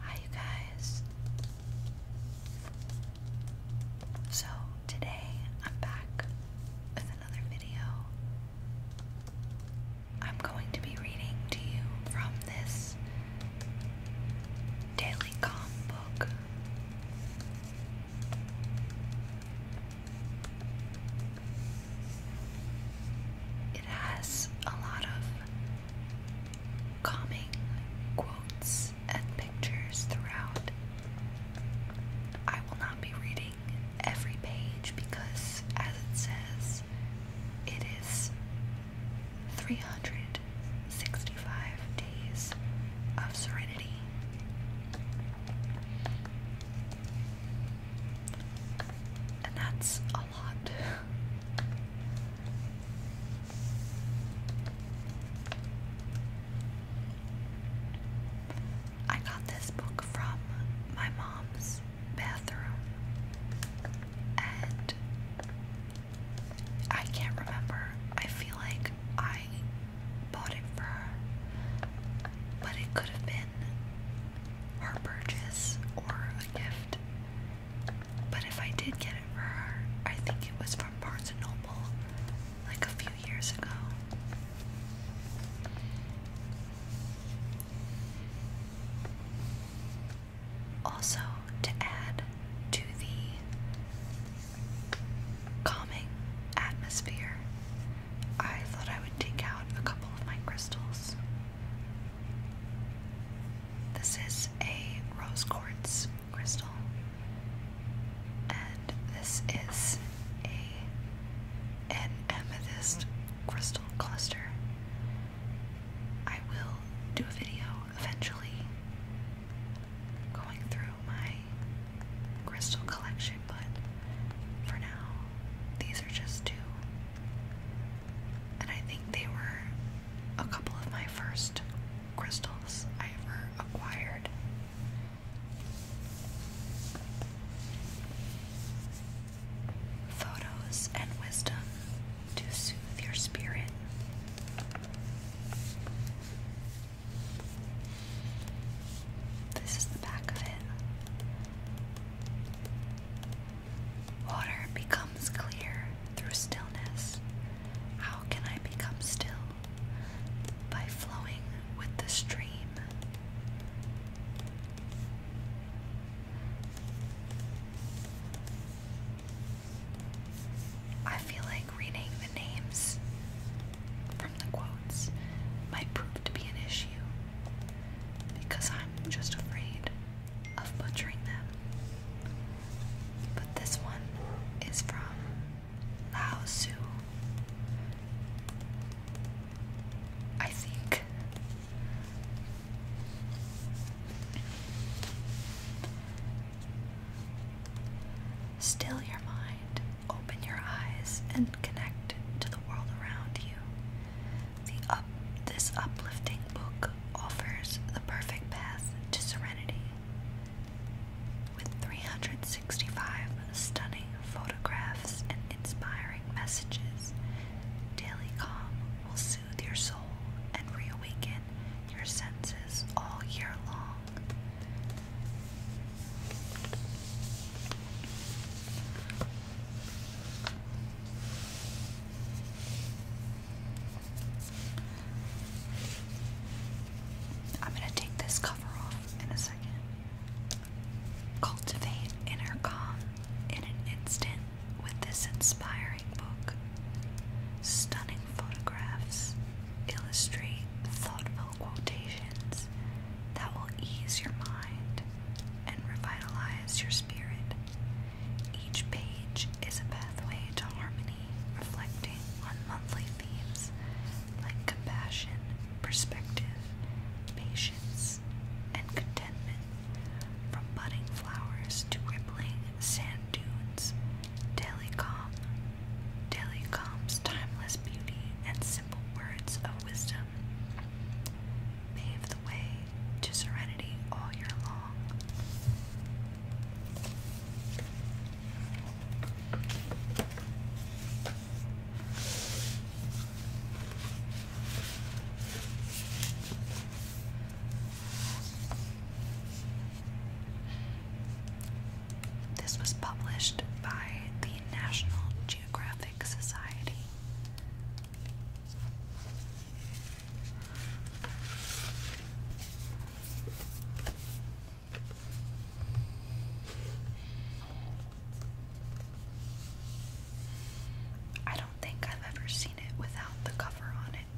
Hi, you guys. So, today I'm back with another video. I'm going to be reading to you from this daily calm book. It has a lot of calming quotes and pictures throughout. I will not be reading every page because, as it says, it is 365 days of serenity. And that's a lot. I got this book from my mom's bathroom, and I can't remember. I feel like I bought it for but it could have been her purchase or a gift. But if I did get it for her, I think it was from Barnes & Noble like a few years ago. Also, to add to the calming atmosphere, I thought I would take out a couple of my crystals. This is a rose quartz crystal, and this is a an amethyst crystal cluster. I will do a video eventually going through my crystal collection, but for now, these are just two and I think they were a couple of my first crystals I ever acquired. Photos and wisdom to soothe your spirit. This is the back of it. Water becomes clear through stillness. How can I become still? By flowing with the stream. I feel like reading the names from the quotes might prove to be an issue because I'm just afraid of butchering them. But this one is from Lao Tzu. I think. Still your mind, open your eyes, and connect to the world around you this uplifting book offers the perfect path to serenity. With 365 stunning photographs and inspiring messages, Daily Calm will soothe your soul and reawaken your senses all year long. I'm going to take this cover off in a second. Cultivate inner calm in an instant with this inspiring book. Stunning photographs illustrate thoughtful quotations that will ease your mind and revitalize your spirit. Each page is a pathway to harmony, reflecting on monthly themes like compassion, perspective, patience, and contentment. From budding flowers to rippling sand dunes, daily calm, daily calm's timeless beauty and simple words of wisdom pave the way to serenity all year long. This was published by the National Geographic Society. I don't think I've ever seen it without the cover on it.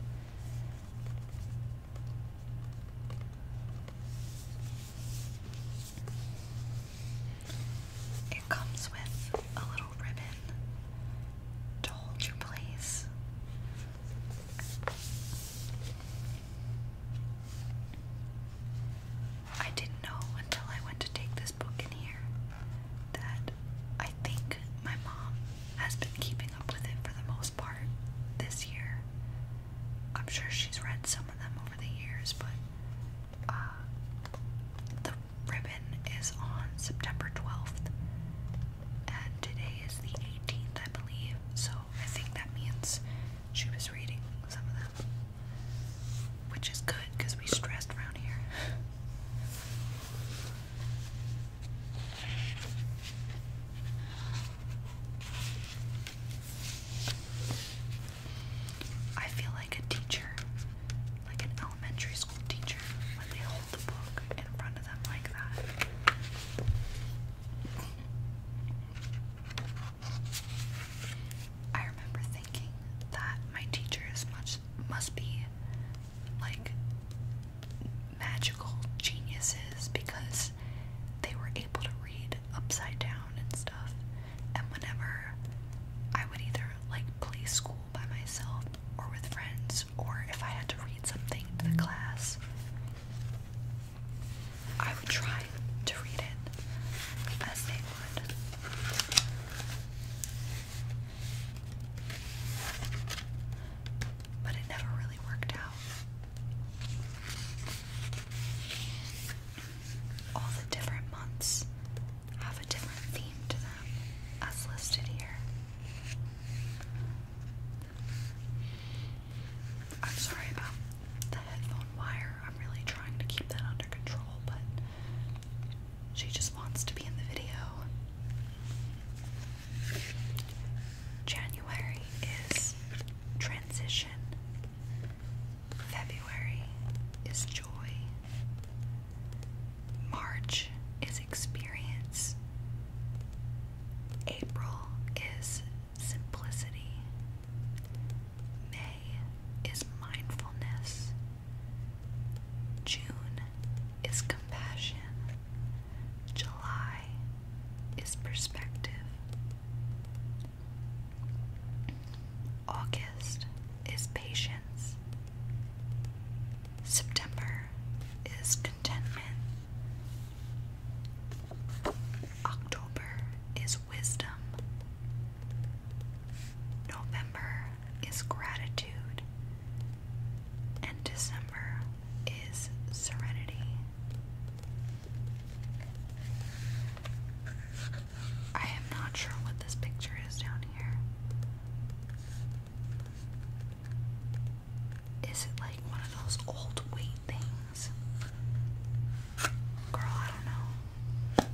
It comes with a little ribbon to hold your place. I didn't know until I went to take this book in here that I think my mom has been keeping up with it for the most part this year. I'm sure she's read some of them over the years, but uh, the ribbon is on September 12th, and today is the 18th, I believe. So I think that means she was reading some of them, which is good because we stressed around here. I feel like a teacher, like an elementary school teacher, when they hold the book in front of them like that. I remember thinking that my teachers much must be like magical geniuses because they were able to read upside down and stuff. And whenever I would either like play school by myself or with friends, or if I had to read something to the class, I would try to read it as they would. But it never really worked out. All the different months have a different theme to um, listed here. I'm sorry about the headphone wire. I'm really trying to keep that under control, but she just wants to be in the video. January is transition. February is joy. March is experience. April is simplicity. May is mindfulness. June is compassion. July is perspective. August is patience. September is contentment. October is wisdom. November is gratitude. And December is serenity. I am not sure what this picture is down here. Is it like one of those old weight things? Girl, I don't know.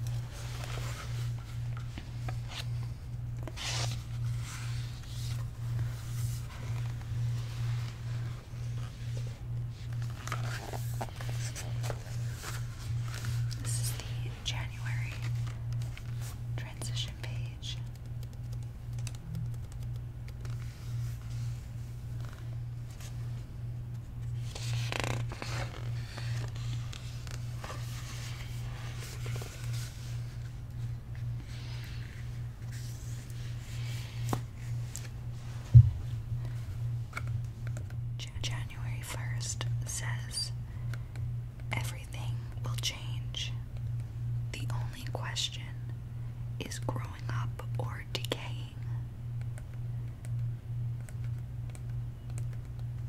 This is the January transition page page. January 1st says Everything will change. The only question is growing up or decaying.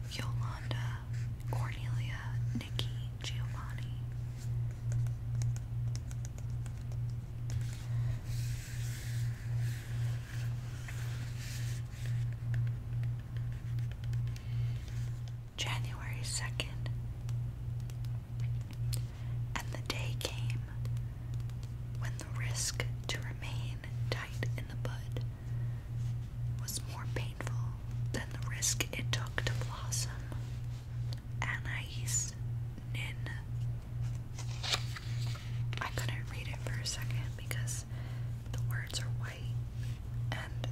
Yolanda, Cornelia, Nikki, Giovanni. January 2nd. And the day came when the risk to remain tight in the bud was more painful than the risk it took to blossom. Anais Nin. I couldn't read it for a second because the words are white and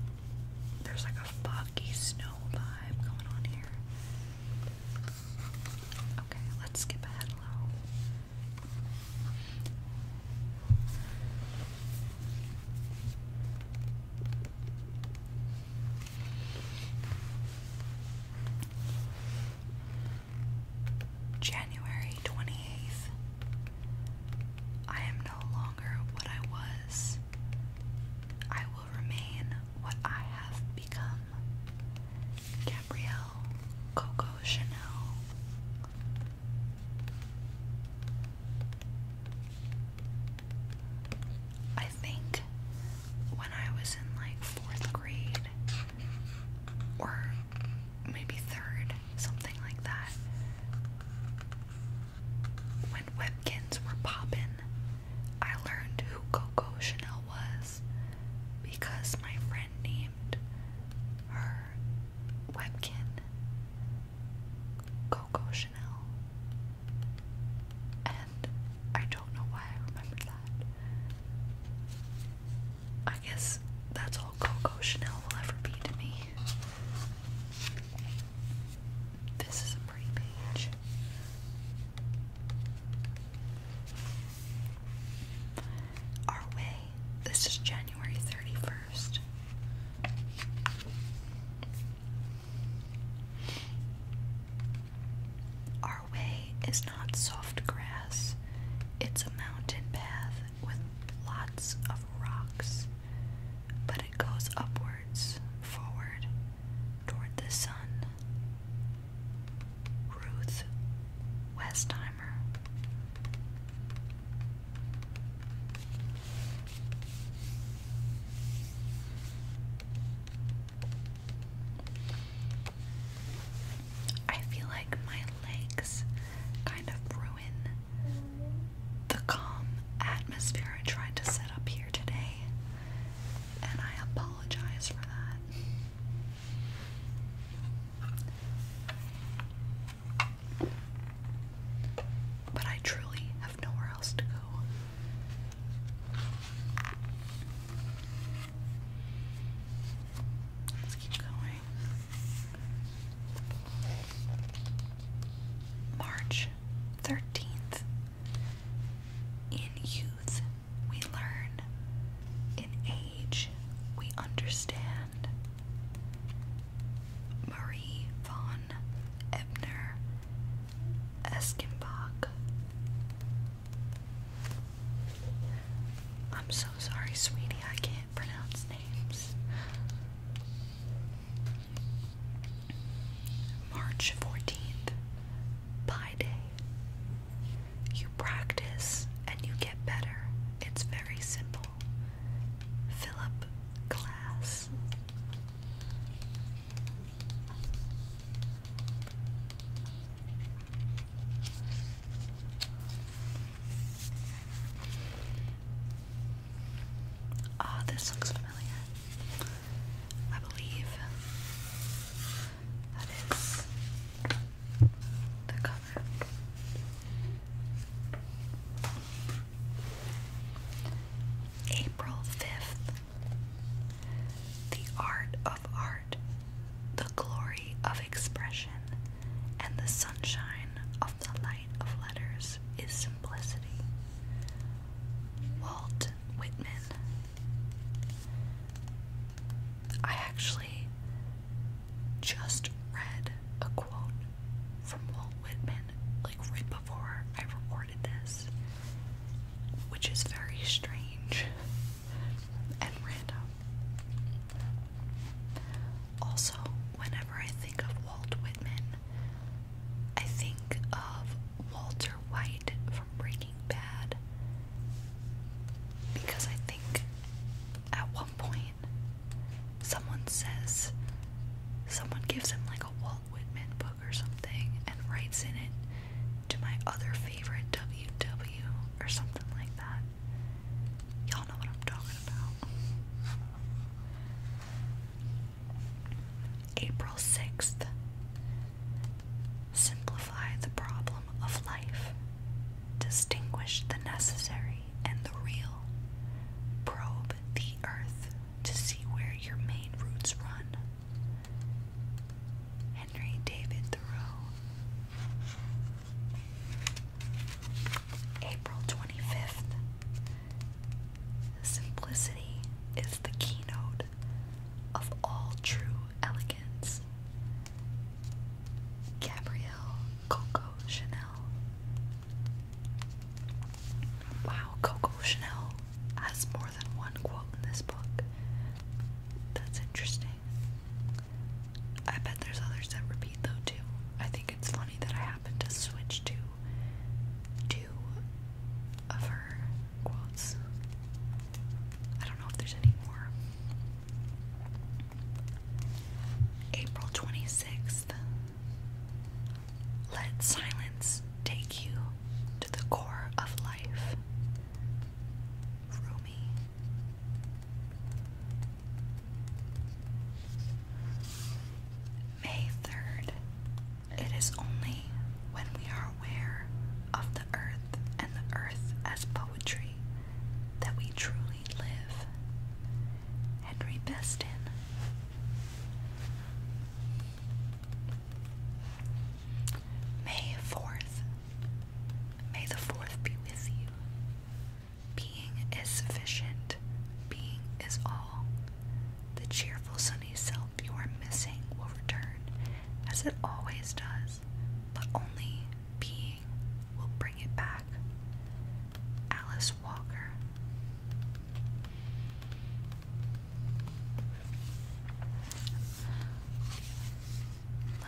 there's like a foggy snow vibe going on here. Okay, let's skip ahead a January 28th, I am no longer what I was. I will remain what I have become. Gabrielle Coco Chanel. I think when I was in like fourth grade or maybe third, something like that, when Webkins were popping, I learned who Coco Chanel was because my friend named her Webkin Coco Chanel. And I don't know why I remember that. I guess that's all Coco Chanel will ever be to me. This is a pretty page. Our way. This is January 31st. Our way is not soft grass, it's a mountain path with lots of rocks, but it goes upwards, forward, toward the sun. Ruth Westheimer. I feel like my legs kind of ruin the calm atmosphere I tried to set up here today, and I apologize for that. But I truly have nowhere else to go. Let's keep going. March 13th. In youth, we learn. In age, we understand. Marie von Ebner Eskenbach. I'm so sorry, sweetie, I can't pronounce names. March 14th, Pie Day. You practice and you get better. It's very simple. Philip Glass. Ah, this looks familiar. I believe that is the color. April 5th. The art of art, the glory of expression, and the sunshine of the light of letters is simplicity. Walt Whitman. I actually just read a quote from Walt Whitman like right before I recorded this, which is very strange and random. Also, whenever I think of Walt Whitman, I think of Walter White from Breaking Bad because I think at one point someone says someone gives him like a Walt Whitman book or something and writes in it to my other favorite WW or something like that. Y'all know what I'm talking about. April 6th. Simplify the problem of life. Distinguish the necessary and the real. Probe the earth to see where your main roots run. Henry David Thoreau. April 25th. Simplicity is the keynote of all true elegance. Gabrielle Coco Chanel. Wow, Coco Chanel has more than one quote in this book. That's interesting. I bet there's others that repeat though too. I think it's funny that I happen to switch to two of her quotes. I don't know if there's any more. April 26th. Let silence take you to the core of life. Rumi. May 3rd. It is only when we are aware of the earth and the earth as poetry that we truly live. Henry Beston. May 4th. May the 4th be with you. Being is sufficient. Being is all. The cheerful sunny self you are missing will return, as it always does, but only being will bring it back. Alice Walker.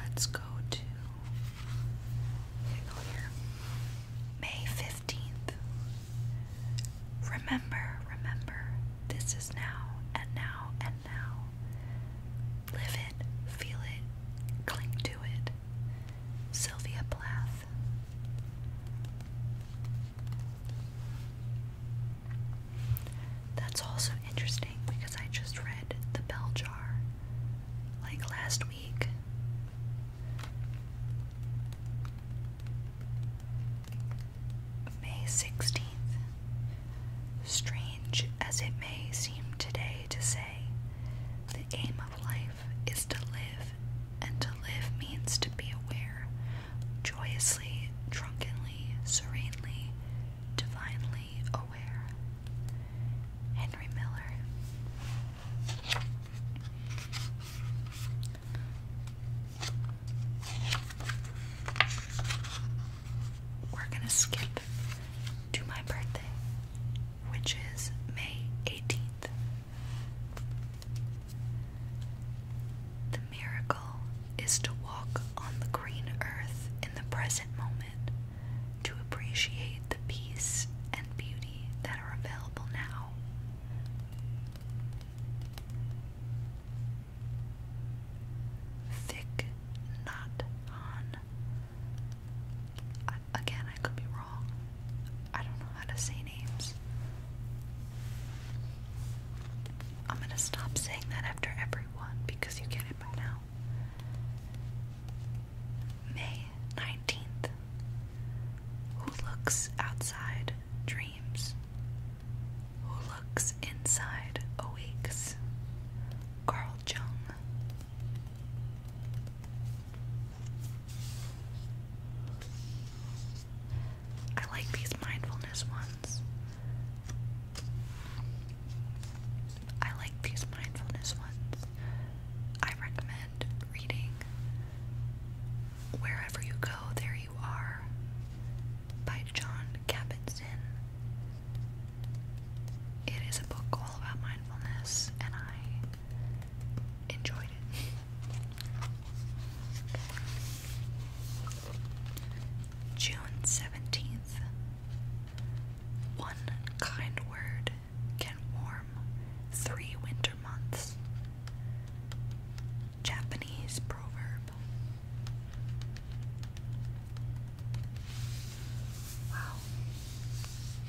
Let's go to go here. May 15th. Remember, remember, this is now and now and now. Live it, feel it, cling to it. Sylvia Plath. That's also interesting because I just read The Bell Jar like last week, May 16th. Strange as it may seem today to say, the aim of life is to live, and to live means to be aware, joyously, drunkenly, serenely, divinely aware. Henry Miller. We're going to skip to my birthday, which is May 18th. The miracle is to walk on the green earth in the present moment, to appreciate the peace and beauty that are available now. Thick knot on. I, again, I could be wrong. I don't know how to say names. I'm gonna stop saying that after everyone because you get it by now. May 19th, who looks outside dreams? Who looks inside awakes? Carl Jung. I like these mindfulness ones. I like these mindfulness ones. I recommend reading Wherever You Go, There You Are by John Kabat-Zinn. is a book all about mindfulness, and I enjoyed it. June 17th. One kind word can warm three winters months. Japanese proverb. Wow.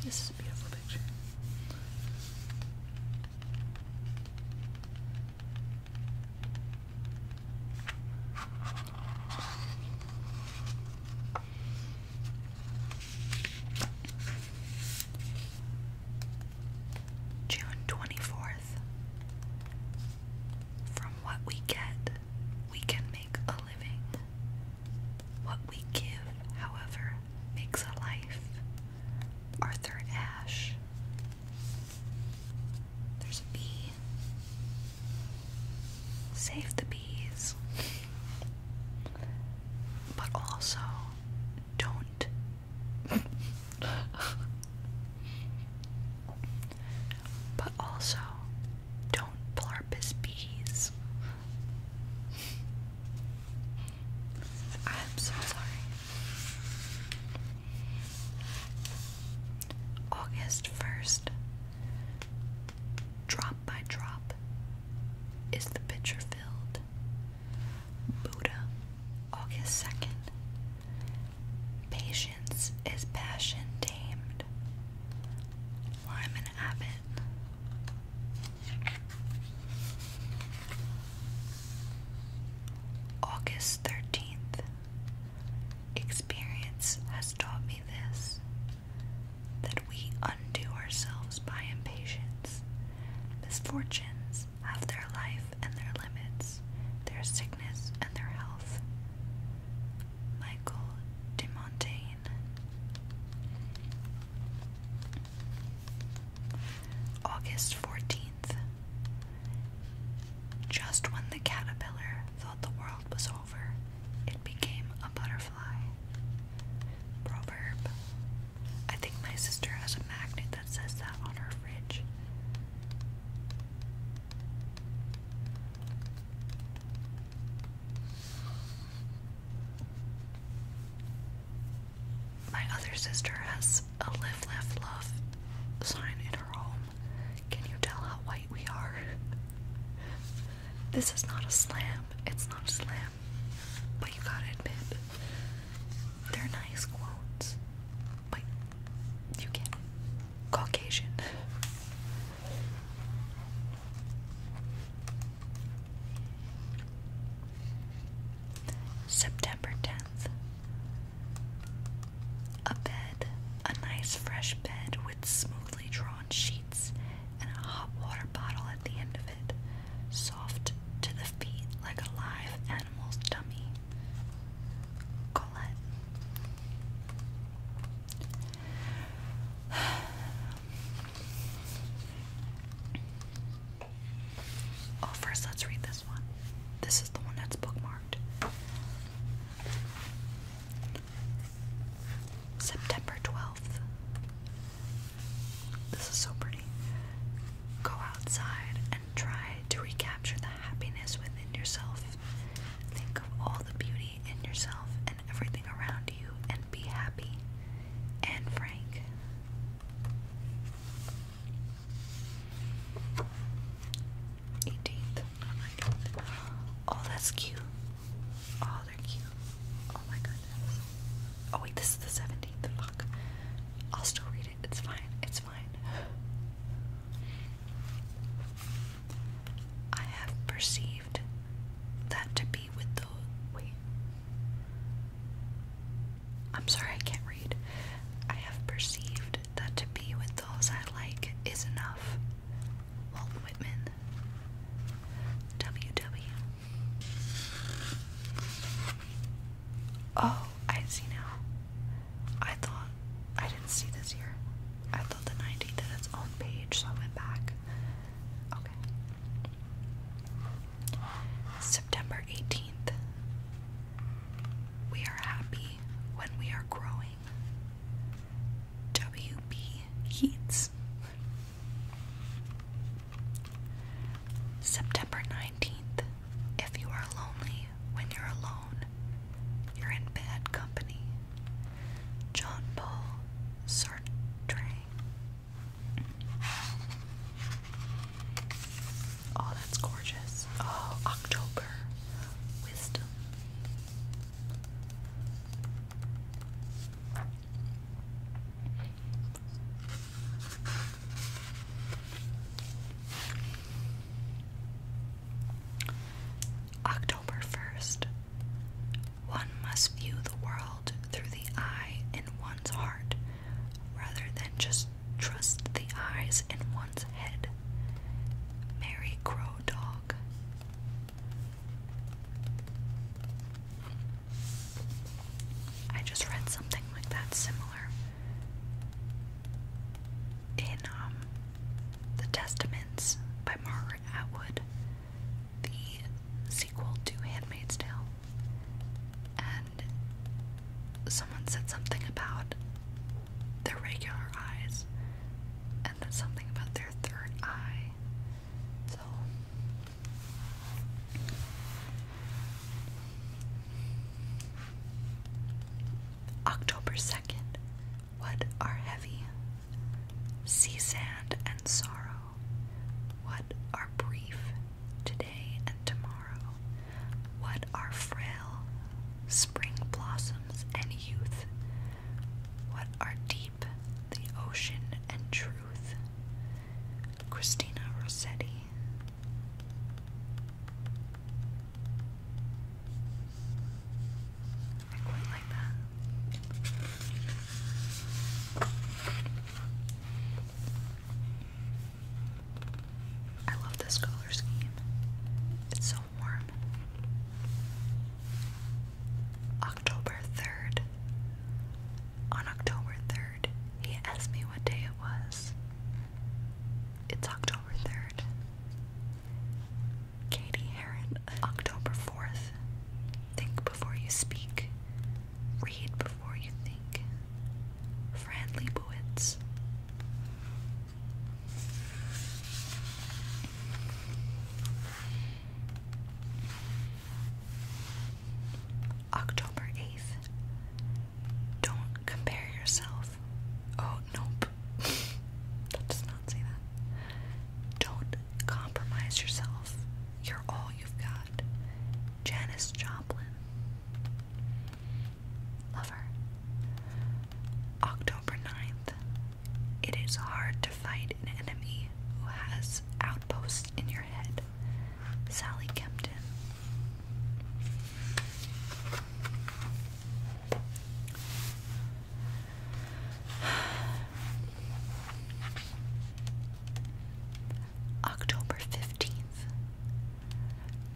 This is a beautiful picture. June 24th. From what we get, we can make a living. What we give, however, makes a life. Arthur Ashe. There's a bee. Save the bees. But also, don't. but also, don't blarp his bees. I'm so sorry. August 1st. Drop by drop is the pitcher filled Buddha, August 2nd. Patience is passion tamed. Lyman Abbott. August 13th. Experience has taught me this that we undo ourselves by impatience, misfortunes, have their life and their limits, their sickness and their health. Michael de Montaigne. August 14th. Just when the caterpillar thought the world was over, it became a butterfly. Proverb I think my sister has a magnet that says that on her fridge. My other sister has a live, left, love sign in her home. Can you tell how white we are? this is not a slam. It's not a slam. But you gotta admit, they're nice quotes. Like, you get Caucasian. September 10th. A bed, a nice fresh bed with smoothly drawn sheets and a hot water bottle at the end of it soft to the feet like a live animal's dummy. Colette. Oh, first let's read this one. This is the one that's bookmarked. September 12th. This is so pretty. Go outside and try to recapture the happiness within yourself. Think of all the beauty in yourself and everything around you and be happy. And Frank. Eighteenth. Oh that's cute. Oh, they're cute. Oh my god. Oh wait, this is the 17th. Fuck. I'll still read it. It's fine. It's fine. I have perceived that to be with the wait. I'm sorry, I can't read. I have perceived that to be with those I like is enough. Walt Whitman. W.W. Oh, I see now. I thought I didn't see this here. I thought the 90 did its page, so I went back. Okay. September 18th. We are happy when we are growing. W.B. Yeats. September 19th. If you are lonely when you're alone, you're in bad company. John Paul Sartre. Oh, that's gorgeous. Oh, October. Wisdom. October 1st. One must view the world through the eye in one's heart rather than just trust the eyes in one's head. Mary Crow I just read something like that similar in um, The Testaments by Margaret Atwood, the sequel to Handmaid's Tale. And someone said something about their regular eyes, and then something about their third eye. So October 2nd. What are heavy? Sea sand and sorrow. What are brief? Today and tomorrow. What are frail? Spring blossoms and youth. What are deep? The ocean and truth. Christina Rossetti. I quite like that. I love this color scheme. It's so warm. October 3rd. On October 3rd, he asked me what day it was. It's October 3rd. Katie Heron, October 4th. Think before you speak. Read before you think. Fran Lebowitz. October 8th. Don't compare yourself. Oh, nope. that not say that. Don't compromise yourself. You're all you've got. Janice Joplin. Love her. October 9th. It is hard to fight an enemy who has outposts in your head. Sally Kempton. October 15th.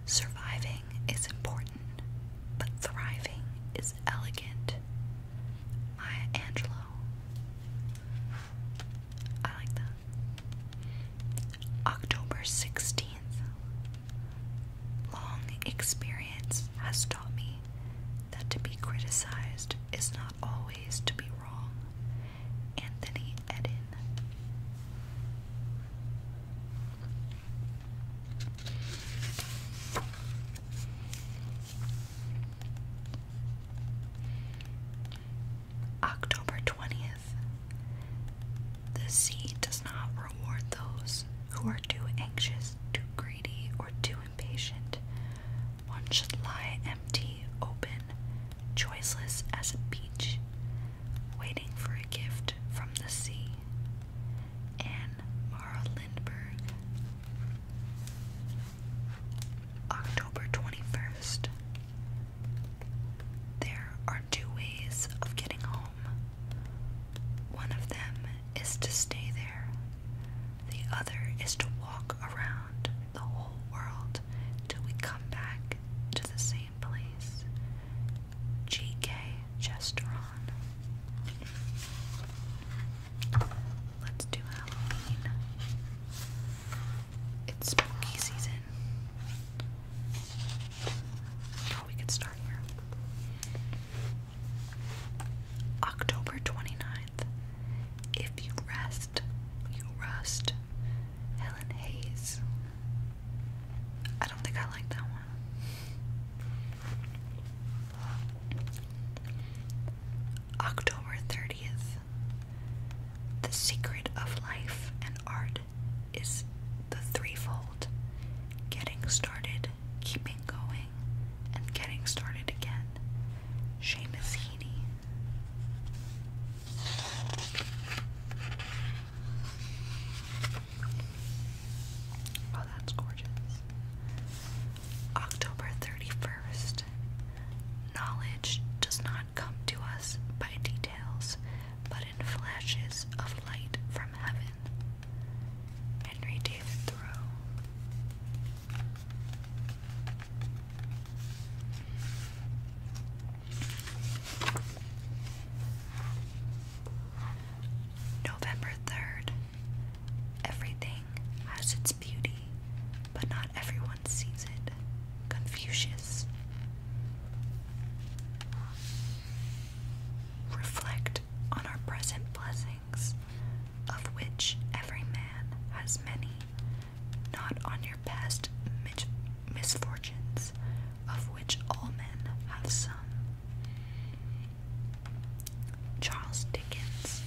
Surviving is important, but thriving is elegant. Maya Angelou. I like that. October 16th. Long experience has taught me that to be criticized is not always to be wrong. Anthony Eden. October 20th. The sea does not reward those who are too anxious, too greedy, or too impatient. One should lie empty, open, choiceless as a beach, waiting for a gift from the sea. Anne Mara Lindberg. October 21st. There are two ways of getting home. One of them is to stay there, the other is to walk around the whole world till we come back to the same place. G.K. Chesterton. Let's do Halloween. It's spooky season, Oh, we could start here. October 29th. If you rest, you rust. Helen Hayes. I don't think I like that one. October 30th. The secret of life and art is the threefold getting started, keeping going, and getting started again. Seamus Heaney. Oh, that's gorgeous. October 31st. Knowledge does not come to us by details, but in flashes of light from heaven. Henry David Thoreau. November 3rd. Everything has its beauty, but not everyone sees it. Confucius. Reflect on our present blessings, of which every man has many, not on your past misfortunes, of which all men have some. Charles Dickens.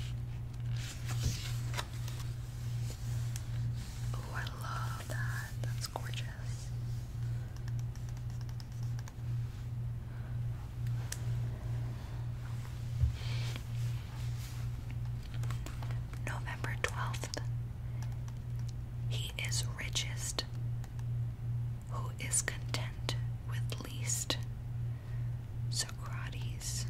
Oh, I love that. That's gorgeous. November 12th. He is richest who is content with least. Socrates.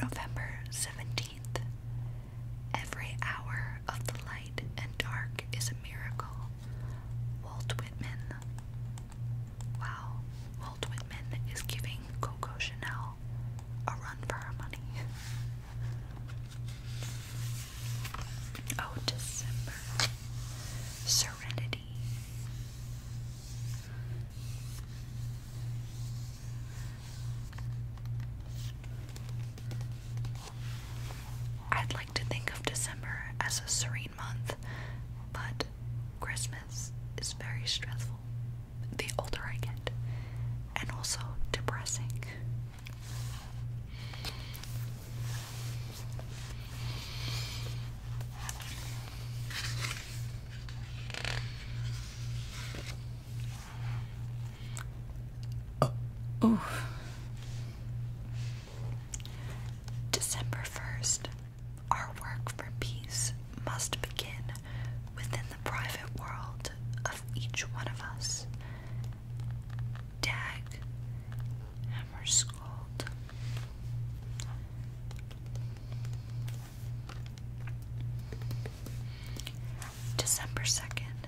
November 17th. Every hour of the light and dark is a miracle. Walt Whitman. Wow. Walt Whitman is giving Coco Chanel a run for our money. oh, December. Serenity. I'd like to think of December as a serene month, but Christmas is very stressful the older I get, and also depressing. Oh. December 1st, our work for peace must begin within the private world of each one of us. Dag Hammarskjöld. December 2nd.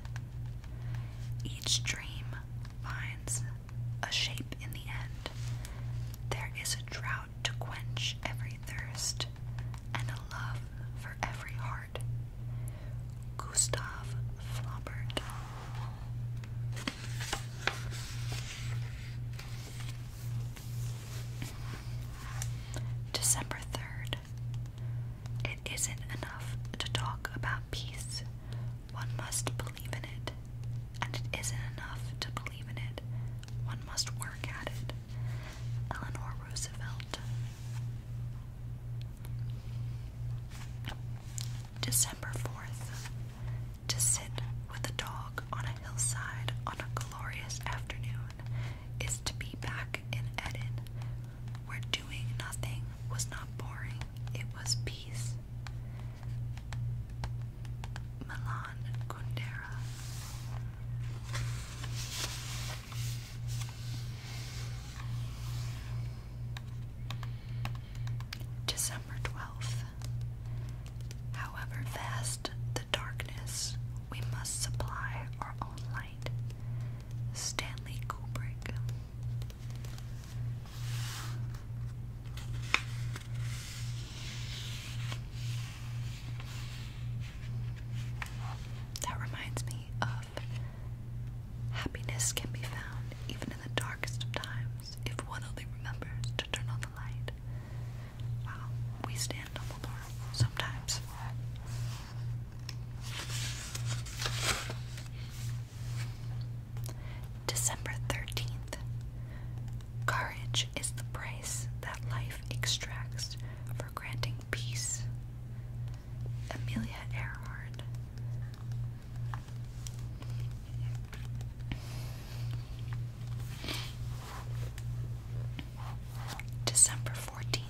Each dream finds a shape in the end. There is a drought to quench every thirst and a love for every heart. Gustav Flaubert. December 3rd. It isn't enough to talk about peace. One must believe in it. And it isn't enough to believe in it. One must work at it. Eleanor Roosevelt. December 4th. To sit with a dog on a hillside on a glorious afternoon is to be back in Eden, where doing nothing was not boring, it was peace. Milan Kundera. December 12th. However vast the darkness, we must supply our own light. Stanley Kubrick. That reminds me of happiness can be found even in the darkest of times if one only remembers to turn on the light. Wow, we stand on the door sometimes. December 13th. Courage is the price that life extracts for granting peace. Amelia Earhart. December 14th.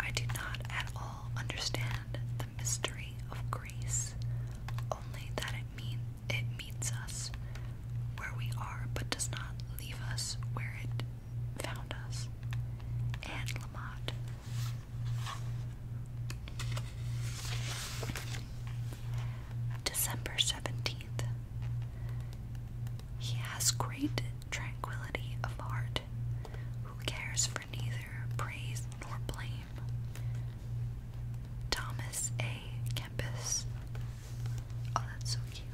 I do not at all understand the mystery of grace, only that it means it meets us where we are, but does not leave us where it found us. Anne Lamott. December 17th. He has great tranquility of heart, who cares for neither praise nor blame. Thomas A. Kempis. Oh, that's so cute.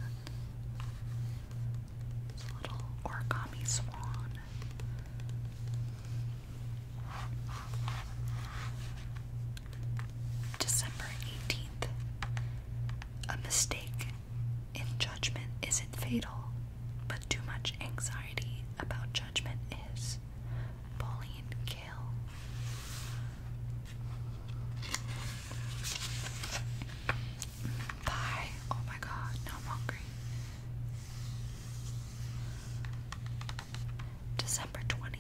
It's a little origami swan. December 18th. A mistake in judgment isn't fatal, but too much anxiety about judgment is. Pauline Kael. Bye. Oh my god, now I'm hungry. December 20th.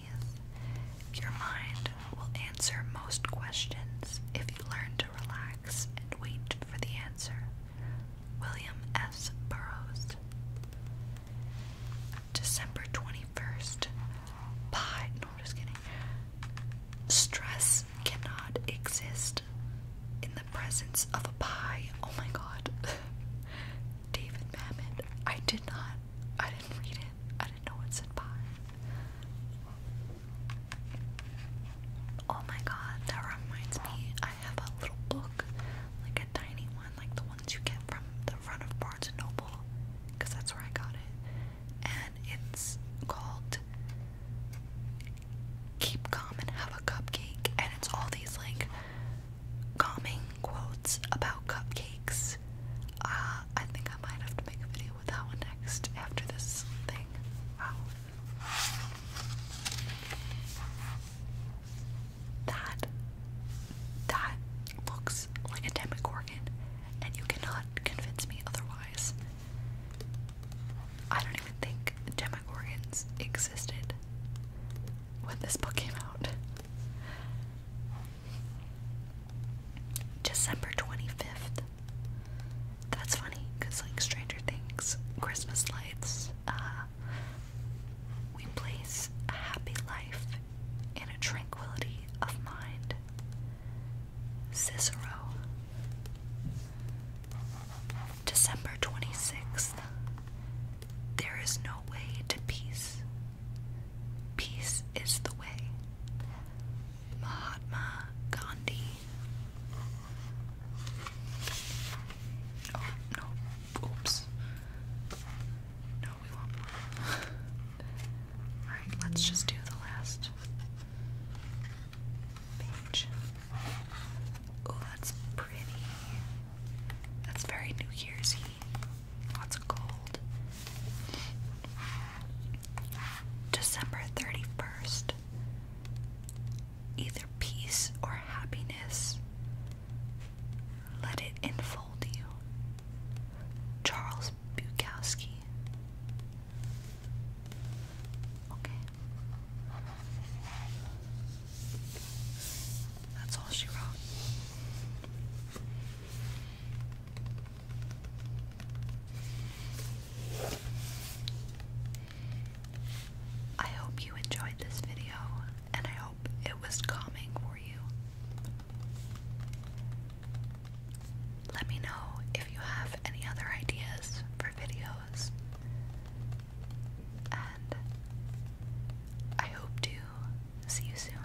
Your mind will answer most questions if you learn to relax and wait for the answer. William S. Burroughs. December 21st. Pie. No, I'm just kidding. Stress cannot exist in the presence of a pie. Oh my god. David Mamet. I did not. I didn't read it. I didn't know it said pie. Oh my god, that reminds me. I have a little book, like a tiny one, like the ones you get from the front of Barnes and Noble, that's where I got it and it's called Keep Calm and Have a Cupcake, and it's all these like calming quotes about cupcakes. Uh, I think I might have to make a video with that one next after this thing. Wow. That that looks like a demogorgon and you cannot convince me otherwise. I don't even think Demogorgons existed when this book came out. December 25th. That's funny, because, like, Stranger Things, Christmas lights, uh, we place happy life in a tranquility of mind. Cicero. December 26th. There is no way to peace. Peace is the way. Mahatma Gandhi. Oh, no. Oops. No, we won't. Alright, let's just do the last page. Oh, that's pretty. That's very New Year's Eve. Lots of gold. December 31st. Either peace or happiness. Let it enfold you. Charles Bukowski. Okay. That's all she wrote. I hope you enjoyed this video, and I hope it was calming for you. Let me know if you have any other ideas for videos. And I hope to see you soon.